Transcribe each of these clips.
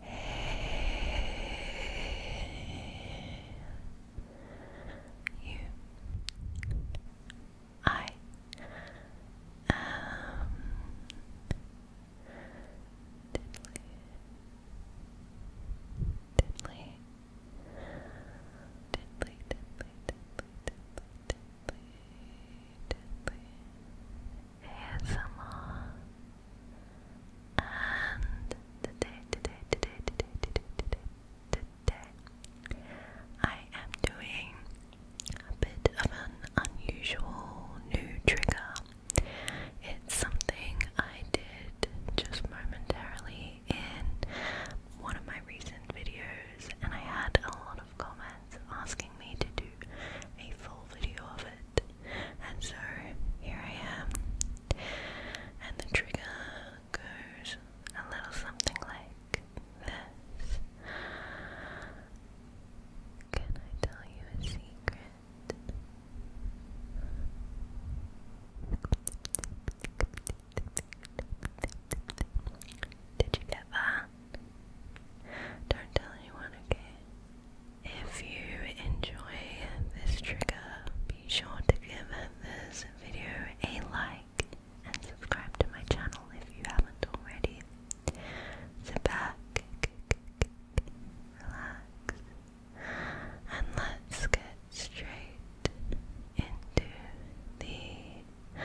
Hey, you. I am diddly, diddly, diddly, diddly, diddly, diddly, diddly, Diddly ASMR and today, today, today, today, today, today, today I am doing a bit of an unusual new trigger. It's something I did just momentarily in one of my recent videos and I had a lot of lot of comments asking me to do a full video of it, and so here I am. And the trigger goes a little something like this. Can I tell you a secret? Did you get that? Don't tell anyone, okay? If you enjoy this trigger, be sure to give this video a like and subscribe to my channel if you haven't already. Sit back, relax, and let's get straight into the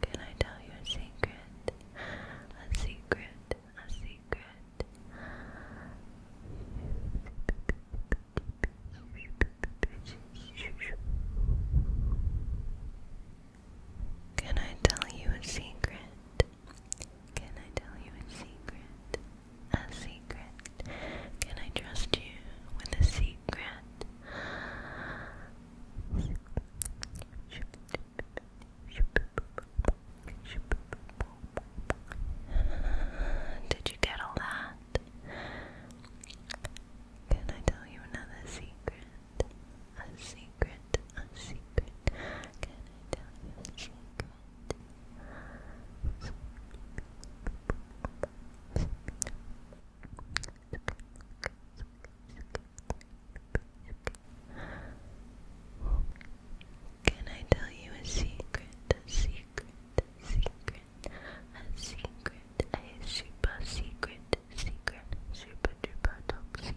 Can I tell you a secret? A secret, a secret. Can I tell you a secret? Can I tell you a secret? A secret. Can I trust you with a secret? Did you get all that? Can I tell you another secret? A secret, a secret. Can I tell you a secret? Can I tell you a secret? A secret, a secret, a secret, a super secret, secret, super duper top secret.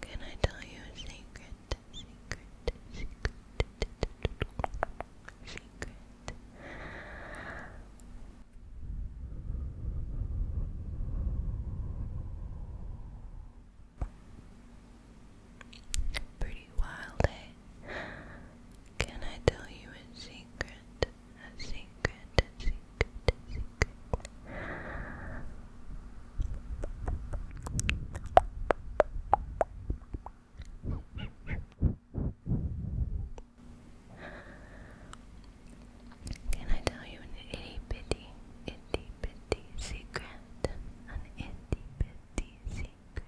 Can I tell you a secret? Secret, secret, secret. Pretty wild, eh? Can I tell you a secret? a secret, a secret, a secret. Can I tell you an itty bitty, secret? An itty secret.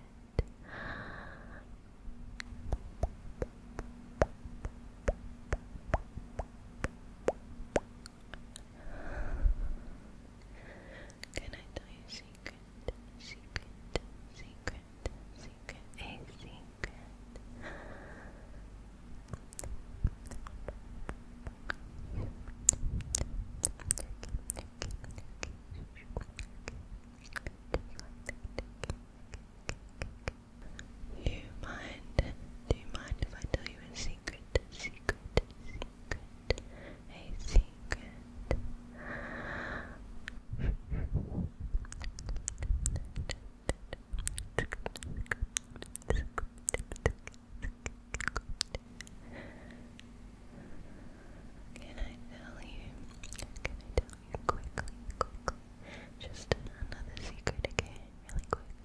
Can I tell you a secret? Secret, secret, secret, a secret. You mind? Do you mind if I tell you a secret? Secret, a secret. Can I tell you? Can I tell you quickly, quickly, just another secret again, really quick.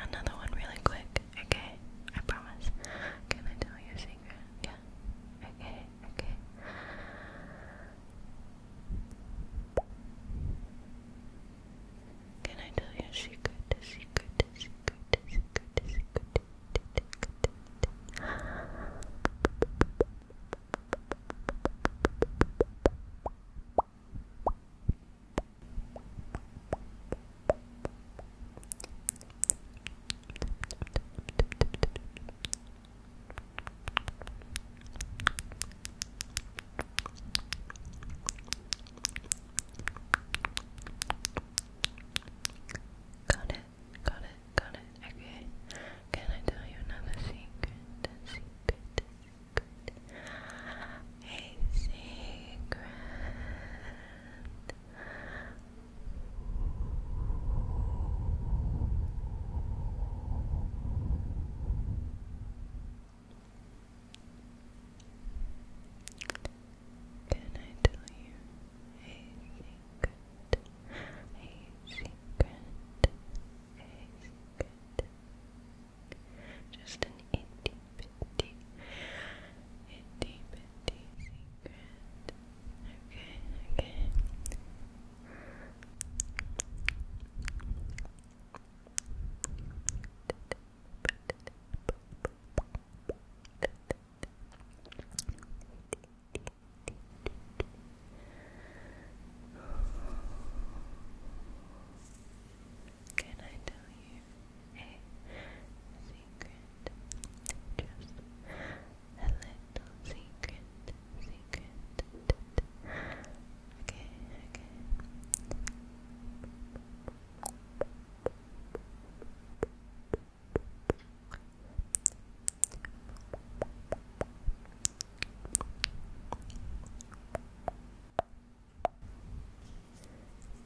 Another one really quick, okay? I promise. Can I tell you a secret? playground. Yeah. Okay. Okay. Can I tell you a secret? A secret? A secret? A secret? A secret? Got it, got it, got it. Okay. Can I tell you another secret? A secret, a secret. Can I tell you a secret? A secret, a secret. Just an itty bitty, itty dirty secret. Okay, okay. Can I tell you secret, just a little secret, secret. Okay, okay.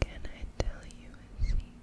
Can I tell you a secret?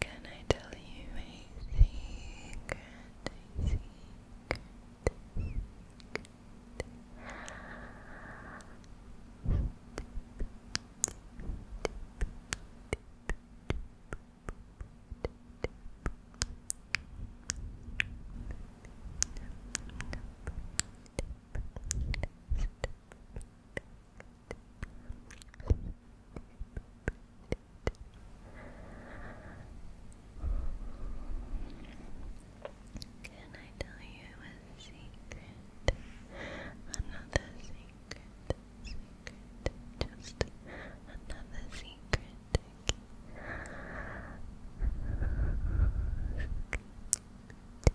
Can I tell you a secret? A secret, can I tell you a secret? Another secret, secret, just another secret.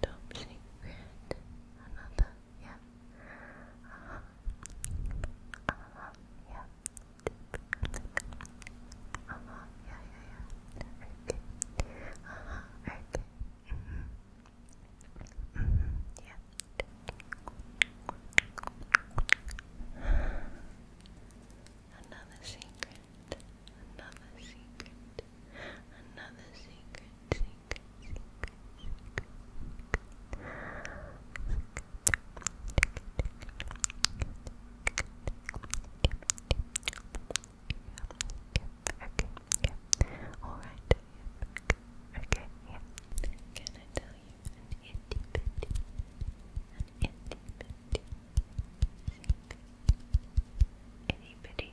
top secret. Another, yeah. Uh -huh. Uh -huh. yeah. Uh -huh. yeah, yeah, yeah. Okay. Uh -huh. Okay. -hmm. -hmm. Yeah. Another secret. Another secret. Another secret, secret, secret, secret, secret. Alright, okay, yeah. Can I tell you an itty bitty, an itty bitty, secret, itty bitty,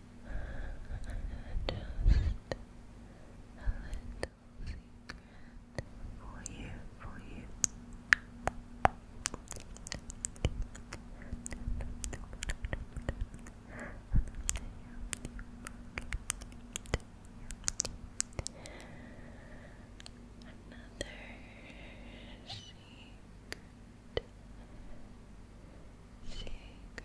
just a little secret for you, for you. Another secret, secret,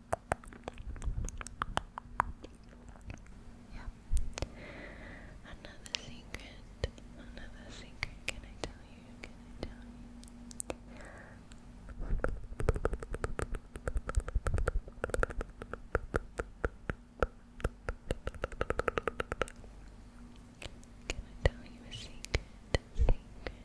Yeah. Another secret. Another secret. Can I tell you? Can I tell you? Can I tell you a secret? Secret.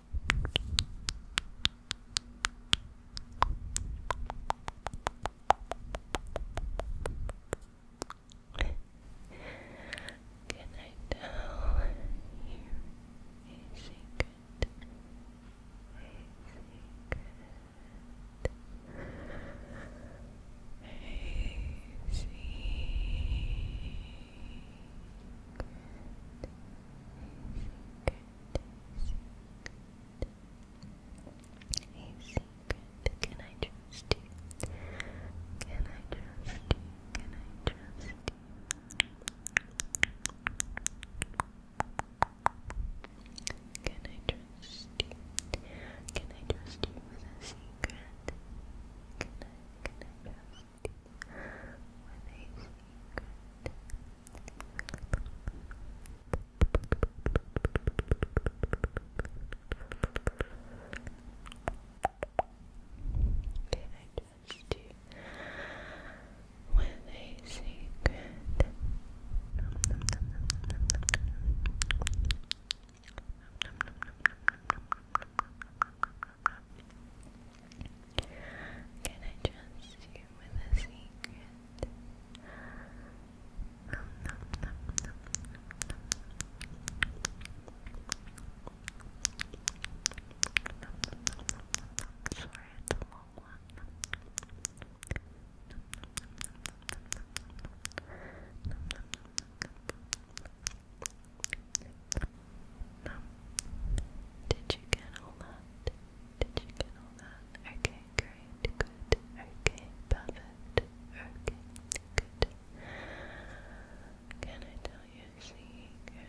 Can I tell you a secret? A secret. A secret. A can I trust you? Can I trust you? Can I trust you? Can I trust you? Can I trust you with a secret? Can I, can I trust you with a secret? Can I trust you with a secret? Nom, can I trust you with a secret? Sorry, it's a long one. Did you get all that? Did you Okay, good, okay, perfect, okay, good. Can I tell you a secret?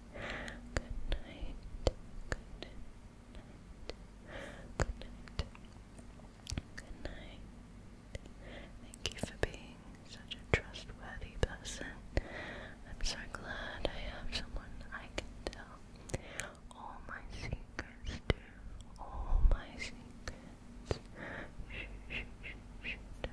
Good night. Good night. Good night. Good night. Thank you for being such a trustworthy person. I'm so glad I have someone I can tell all my secrets to. All my secrets. Shh, shh, shh, shh.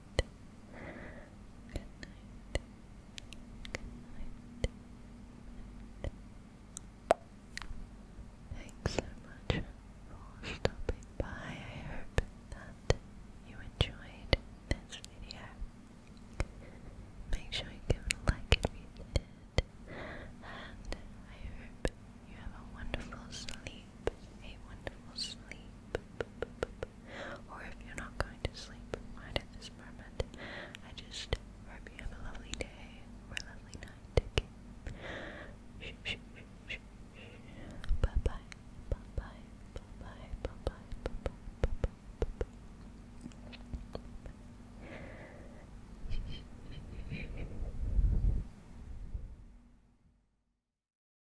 Good night. Good night. Thanks so much for stopping by. I hope that you enjoyed this video. Make sure you give it a like if you did. And I hope you have a wonderful sleep. A wonderful sleep or if you're not going to sleep right at this moment, I just hope you have a lovely day or lovely night. Okay. Shh, shh, shh, shh, shh. Bye bye. Bye bye. Bye bye. Bye bye. Bye bye. Bye bye. Bye bye.